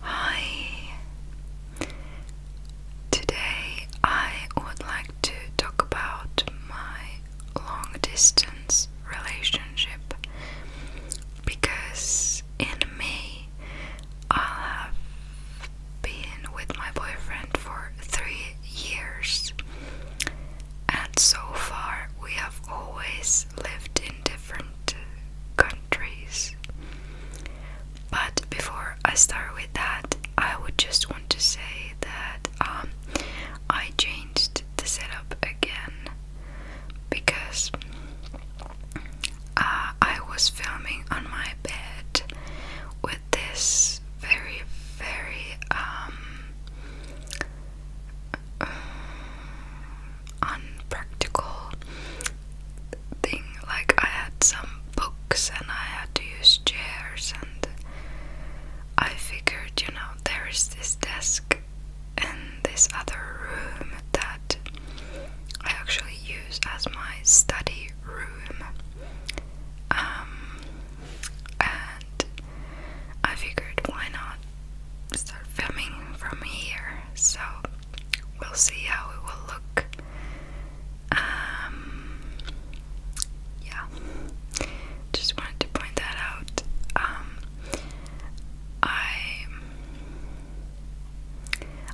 Hi! Today I would like to talk about my long distance relationship because in May i have been with my boyfriend for three years, and so far we have always lived in different countries. But before I start with that, I would just want to say that um, I changed the setup again because uh, I was filming on my bed with this very, very um, unpractical thing. Like, I had some books and I had to use chairs, and I figured, you know, there is this desk in this other room that I actually use as my study room. Um, and I figured why not start filming from here? So we'll see how it will look. Um, yeah, just wanted to point that out. Um, I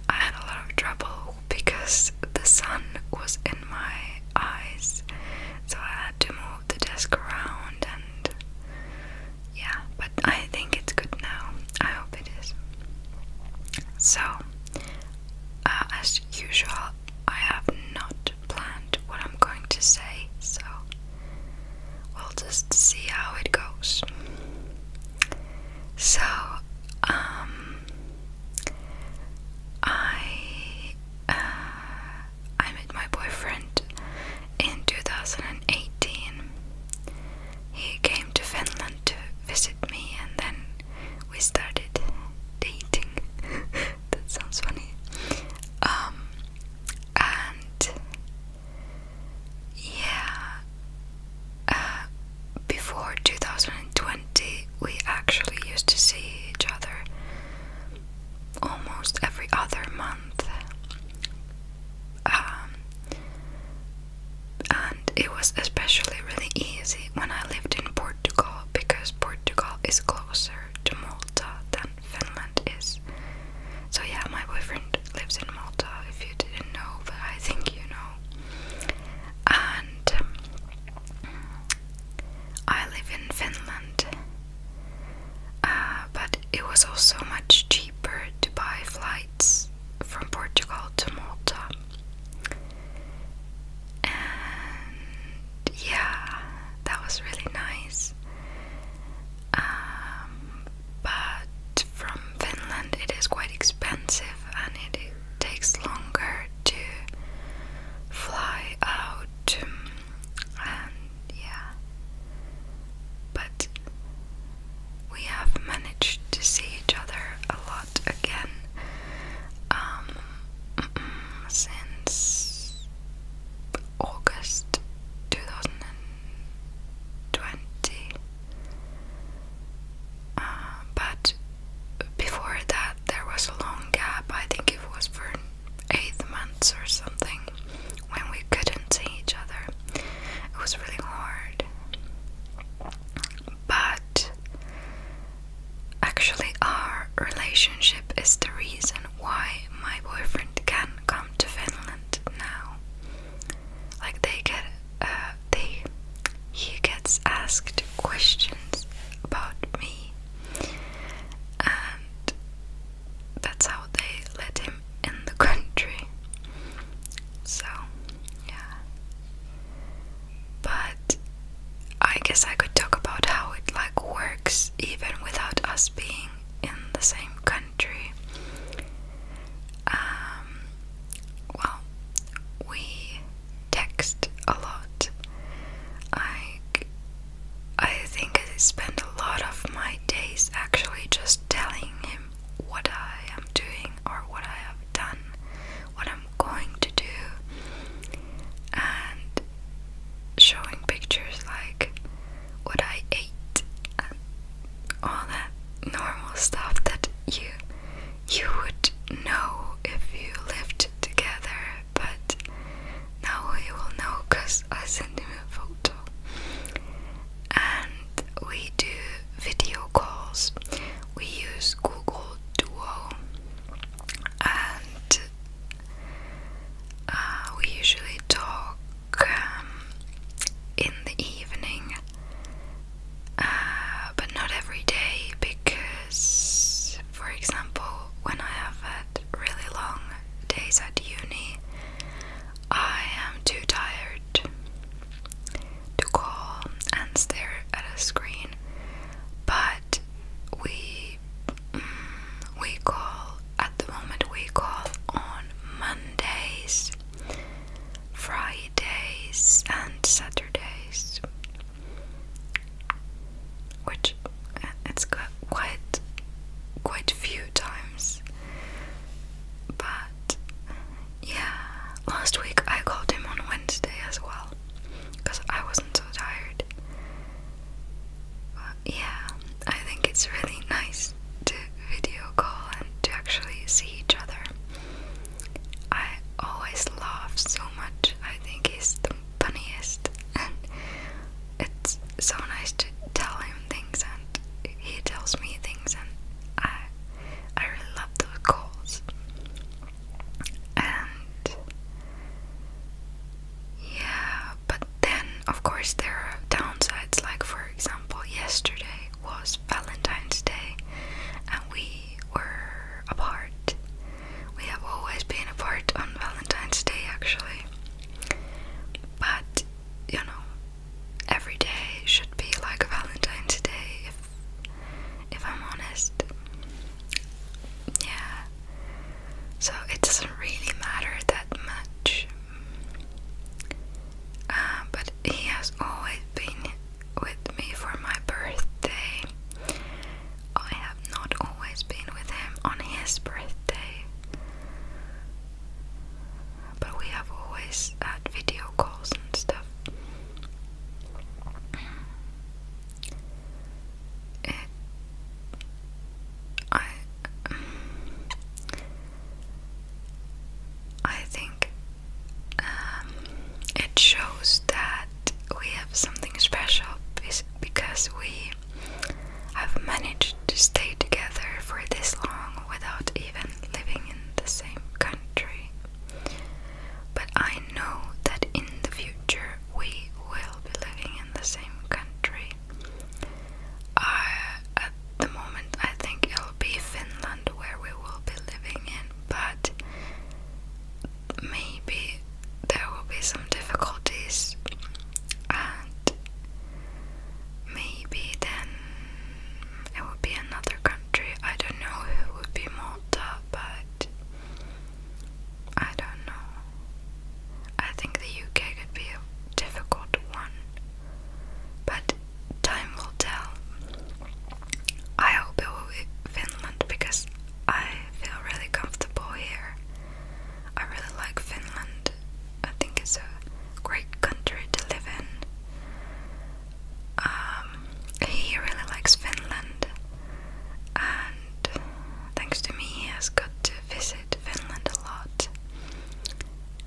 I had a lot of trouble because the sun was in my eyes, so I had to move the desk around and yeah, but I think it's good now. I hope it is. So, uh, as usual, I have not planned what I'm going to say, so we'll just see how it goes. So, um, I uh, I met my boyfriend in 2018 he came to Finland to visit me, and then we started dating. that sounds funny. Um, and yeah, uh, before 2020, we actually used to see each other almost every other month. Um, and it was especially really easy when I lived in Portugal because Portugal is closer to Malta than Finland is. So, yeah, my boyfriend lives in Malta if you didn't know, but I think you know. And um, I live in Finland, uh, but it was also much cheaper to buy flights from Portugal to Malta. And yeah, that was really nice. Um, but from Finland, it is quite expensive and it, takes longer to fly out. and yeah, but we have managed to see each other a lot again um, since August 2020. Uh, but before that, there was a long gap. I think it was for eight months or something when we couldn't see each other. It was really hard. But actually, our relationship is the reason why my boyfriend can come to Finland now. Like they get, uh, they he gets asked questions about me, and that's how they let him in the country. So, yeah. But I guess I could talk about how it like works even without us being in the same country. Um, well, we text a lot. I I think I spend a lot of my days actually just telling him what I am doing or what I have done, what I'm going to do, and showing pictures like what I ate and all that normal stuff that you you would know if you lived together, but now he will know because I sent him a photo and we do video calls. We use Google Duo and uh, we usually talk um, in the evening, uh, but not every day because, for example, when I have had really long days at uni, I am too tired to call and stare at a screen, but we mm, we call at the moment we call on Mondays, Fridays, and Saturdays, which eh, it's has quite quite few times, but yeah, last week I called him on Wednesday as well because I wasn't so tired. yeah, I think it's really nice to video call and to actually see each other. I always laugh so much. I think he's the funniest, and it's so nice to tell him things and he tells me things and I I really love those calls. And yeah, but then of course there are downsides like for example yesterday was Valentine's Day and we were apart. We have always been apart on Valentine's Day actually. But you know, every day should be like Valentine's Day if if I'm honest. Yeah. So it doesn't really matter that much. Uh, but he has always been with me for my birthday. I have not always been with him on his birthday. But we have always had video calls and stuff. I, I think um, it shows that we have something special because we have managed to stay together for this long without even living in the same country. But I know that in the future we will be living in the same country. I, at the moment, I think it'll be Finland where we will be living in, but maybe there will be some difficulties, and Maybe then it would be another country. I don't know It would be Malta, but I don't know. I think the UK could be a difficult one, but time will tell. I hope it will be Finland because I feel really comfortable here. I really like Finland. I think it's a great country to live in. Um, he really likes Finland, and thanks to me, he has got to visit Finland a lot.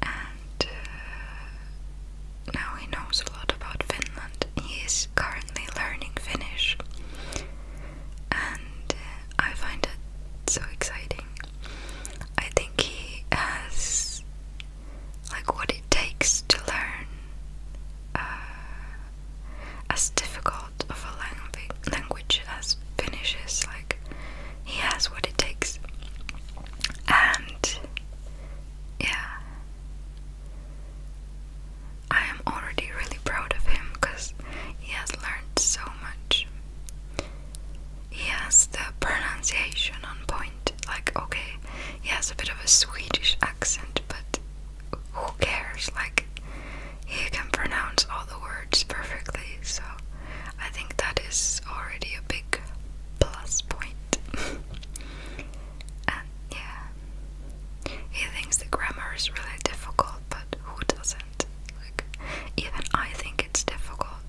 And uh, now he knows a lot about Finland. He is currently learning Finnish, and uh, I find it so exciting. I think he has like what it takes to learn uh, as difficult of a language as Finnish is. Like he has what it takes, and yeah, I am already really proud of him because he has learned so much he has the pronunciation on point. Like, okay, he has a bit of a Swedish accent, but who cares? Like, he can pronounce all the words perfectly, so I think that is already a big plus point. and yeah, he thinks the grammar is really difficult, but who doesn't? Like, even I think it's difficult.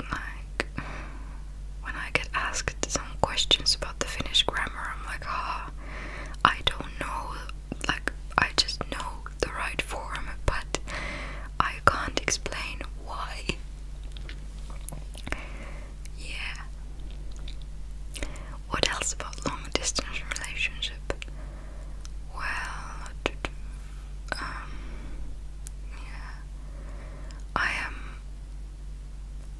Like, when I get asked some questions about the Finnish grammar, I'm like, ah, I don't know, like, I just know the right form, but I can't explain why. Yeah. What else about long distance relationship? Well, um, yeah, I am,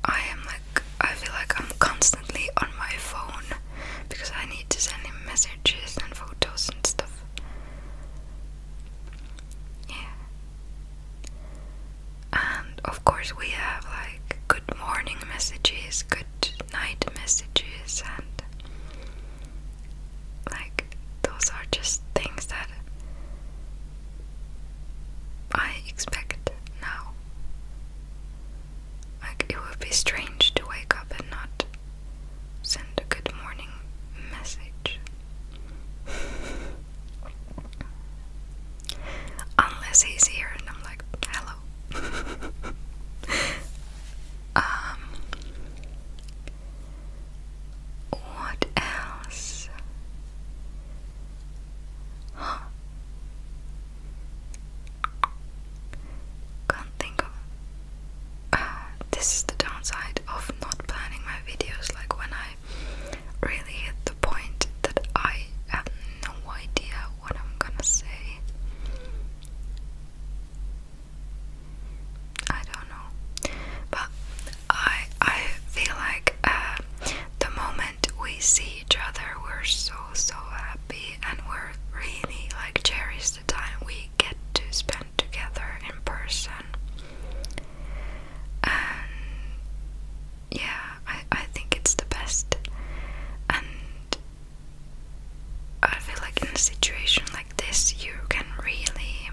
I am like, I feel like I'm constantly on my phone because I need to send him messages and photos and stuff. Yeah. And of course, we have like good morning messages, good night messages, and like, those are just things that I expect now. Like, it would be strange to wake up and not send a good morning message. Unless he's here and I'm like, hello. Um, what else? Can't think of. Uh, this is the downside of not planning my videos. Like when I really hit the point that I have no idea what I'm gonna say. I don't know, but I I feel like uh, the moment we see each other, we're so so happy, and we're really like cherish the time we get to spend together in person. And yeah, I I think it's the best, and I feel like in a situation this you can really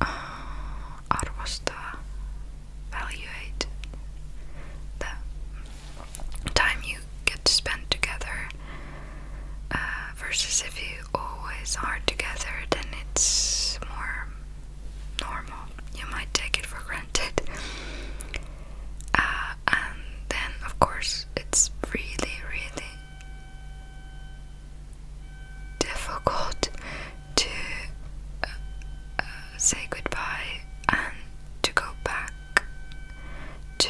uh, evaluate the time you get to spend together uh, versus if you always are together then it's more normal. You might take it for granted. Uh, and then, of course, it's really, really difficult to uh, uh, say goodbye and to go back to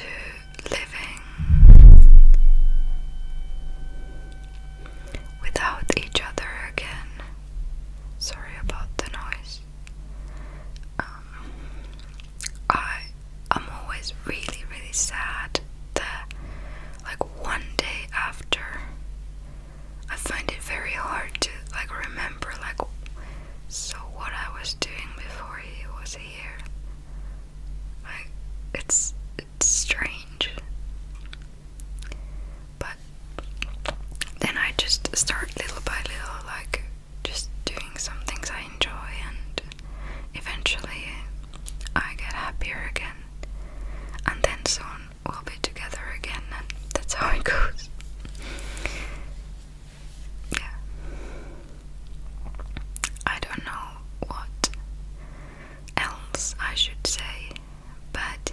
living without each other again. Sorry about the noise. Um, I am always really, really sad that, like, one day after, I find it very hard to, like, remember, like, so what I was doing before he was here. Like, it's, it's strange. But then I just start little by little, like, just doing some things I enjoy and Eventually, I get happier again, and then soon we'll be together again, and that's how it goes. Yeah. I don't know what else I should say, but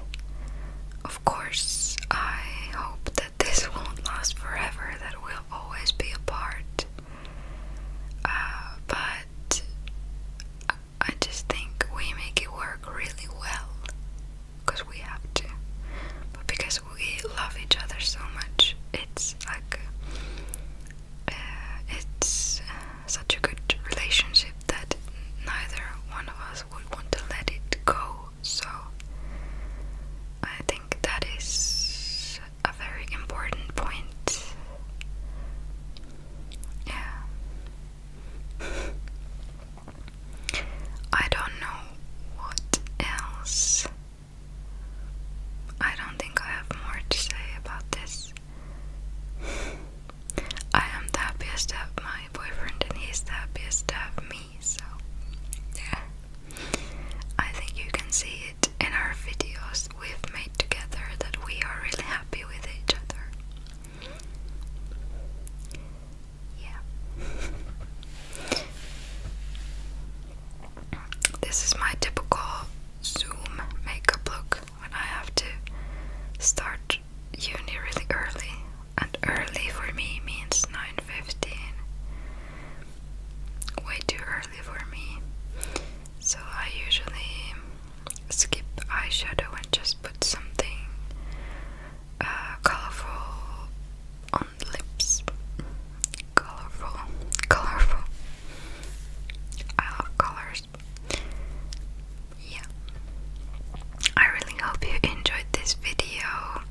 of course, I hope that this won't last forever, that we'll always be apart. Uh, but I just think we make it work really well because we have to, but because we love each other so much, it's like uh, it's uh, such a good relationship that neither one of us would want to let it go. So I think that is a very important point. Yeah. I don't know what else. I don't think I have more to say about this. I am the happiest to my boyfriend, and he's the happiest to me, so yeah. I think you can see it in our videos we've made together that we are really happy with each other. Yeah. This is my typical Zoom makeup look when I have to start uni really early. And early for me means 9.15. Way too early for me. So I usually skip eyeshadow and just put something uh, colorful on lips. Colorful, colorful. colors. Yeah. I really hope you enjoyed this video.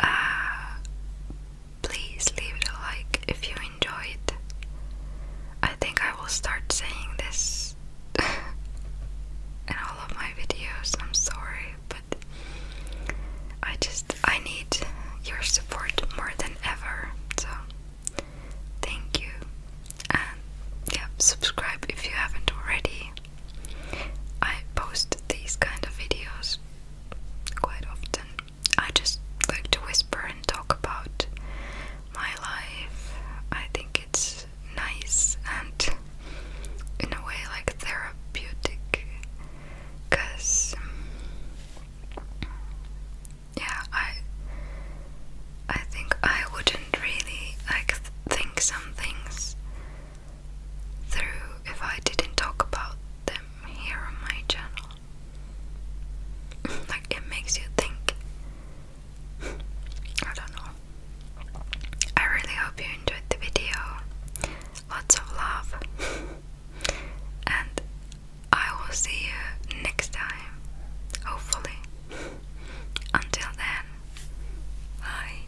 Uh, Please leave a like if you enjoyed. I think I will start saying this in all of my videos. I'm sorry, but I just I need your support more than ever. So thank you. And yeah, subscribe if you haven't already. I post these kind of videos quite often. I just like to whisper and talk about my life. I think it's nice and in a way like therapeutic because yeah I I think I wouldn't really like think some things through if I didn't talk about them here on my channel like it makes you think. I don't know. I really hope you enjoyed the video. Lots of love. and I will see you next time. Hopefully. Until then. Bye.